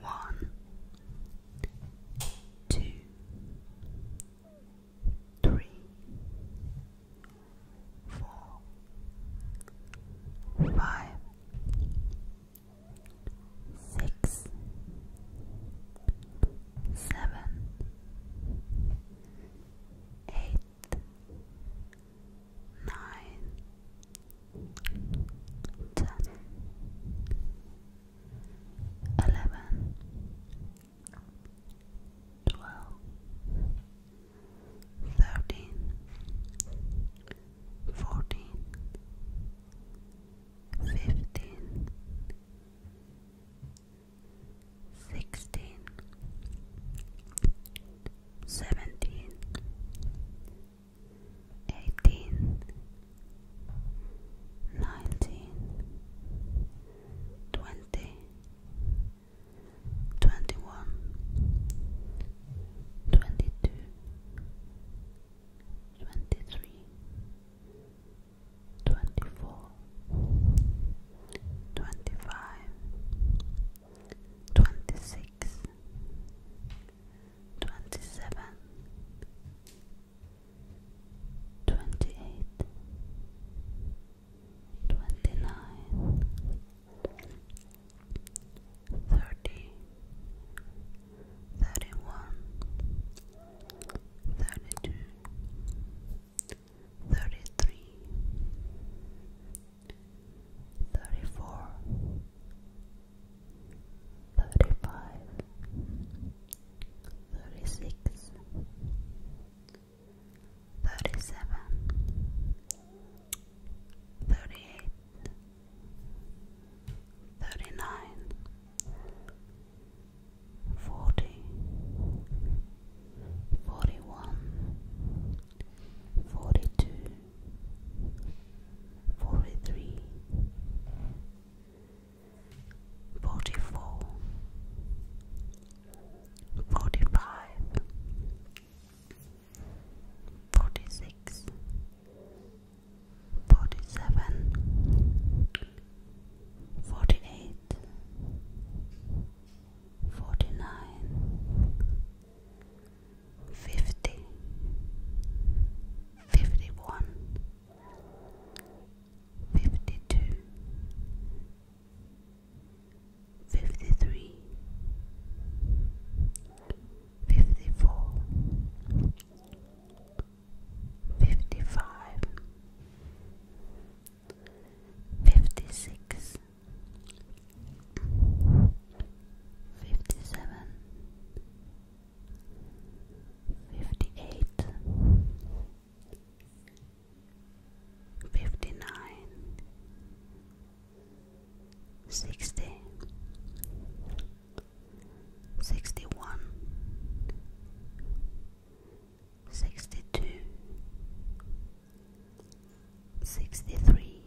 One, two, three, four, five, six, seven, eight nine, ten, eleven, twelve, thirteen, fourteen, fifteen, sixteen. Seventeen, eighteen, nineteen, twenty, twenty one, twenty two, twenty three, twenty four, twenty five, twenty six twenty-seven, twenty-eight, twenty-nine, thirty, thirty-one, thirty-two, thirty-three, thirty four, thirty five, thirty six, thirty seven, thirty eight, thirty nine, forty, forty one, forty two. 43 44 45 46 47 48 fifty, fifty one, fifty two, fifty three, fifty four, fifty five, fifty six fifty seven, fifty eight, fifty nine, sixty, sixty one, sixty two sixty three,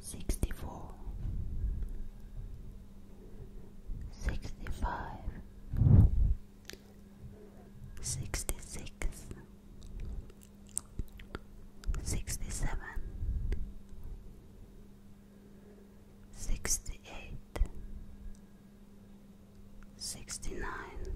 sixty four, sixty five, sixty six, sixty seven, sixty eight, sixty nine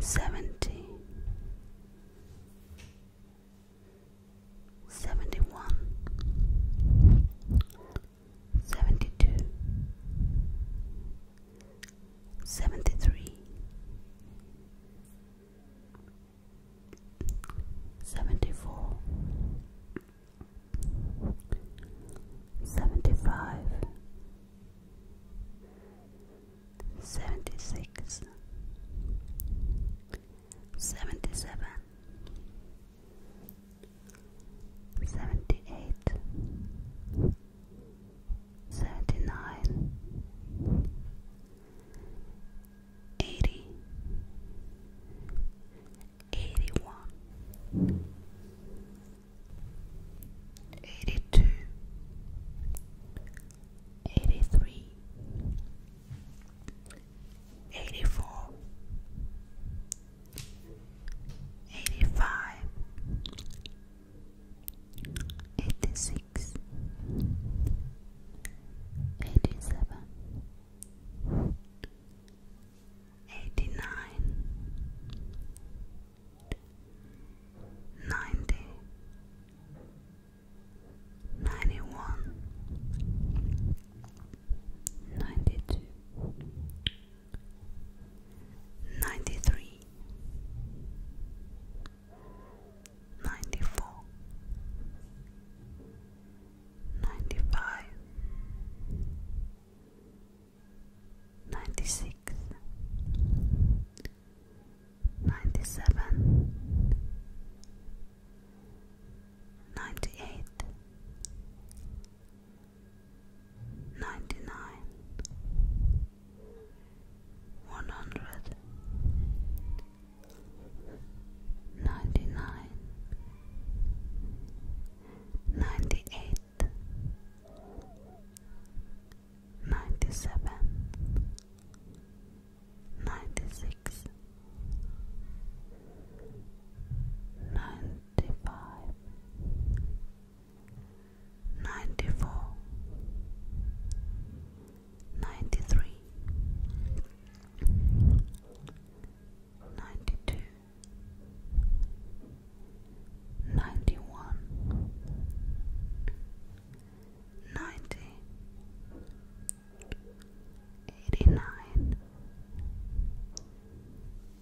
seventy, seventy one, seventy two, seventy three, seventy four. Seventy five, seventy six, seventy seven, seventy eight, seventy nine, eighty, eighty one. 81 82 84 85 86 87 89 ninety, ninety one, ninety two, ninety three, ninety four, ninety five ninety six, ninety seven, ninety eight, ninety nine, one hundred, ninety nine, ninety eight. 97 96 95 94 93 92 ninety one, ninety, eighty nine,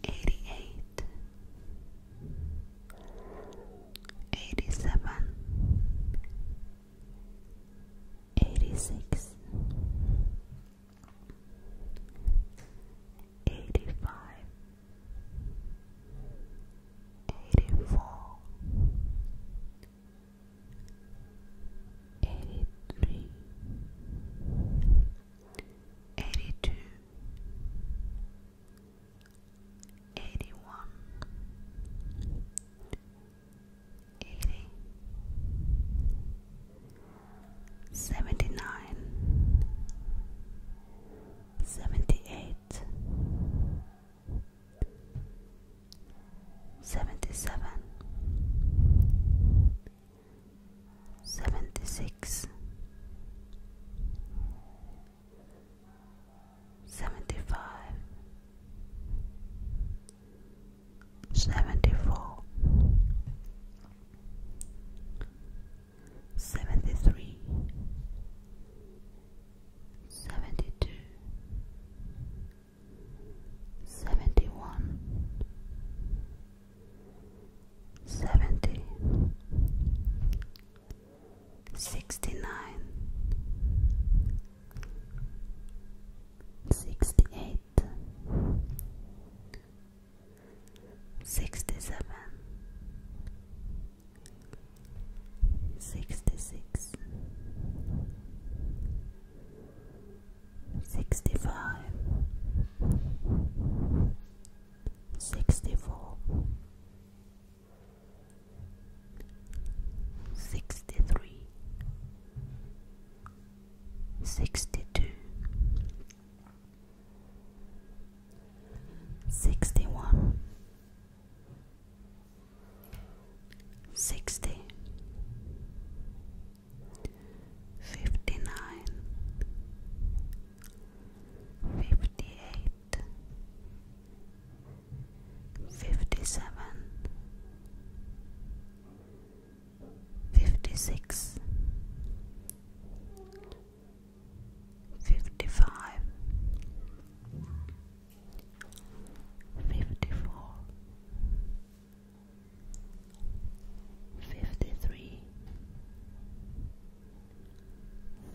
eighty eight, eighty seven, eighty six eighty-five, eighty-four, eighty-three, eighty-two, eighty-one, eighty seventy nine, seventy eight, seventy seven, seventy six, seventy five. 74 seventy three, seventy two, seventy one, seventy, sixty nine, sixty eight. 67 66 65 64 63 62 sixty one, sixty, fifty nine, fifty eight, fifty seven fifty six, fifty five, fifty four, fifty three,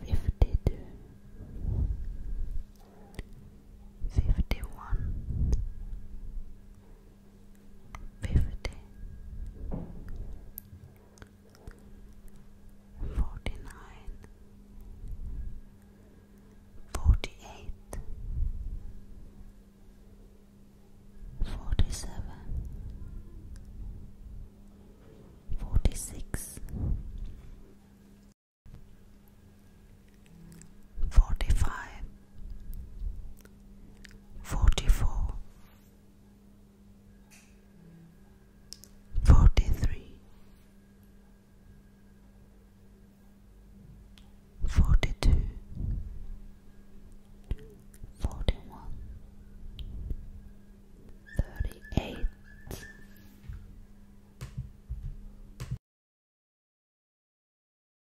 fifty two. Fifty one, fifty, forty-nine, forty-eight, forty-seven, forty-six, forty-five, forty-four forty three, forty two, forty one, thirty eight.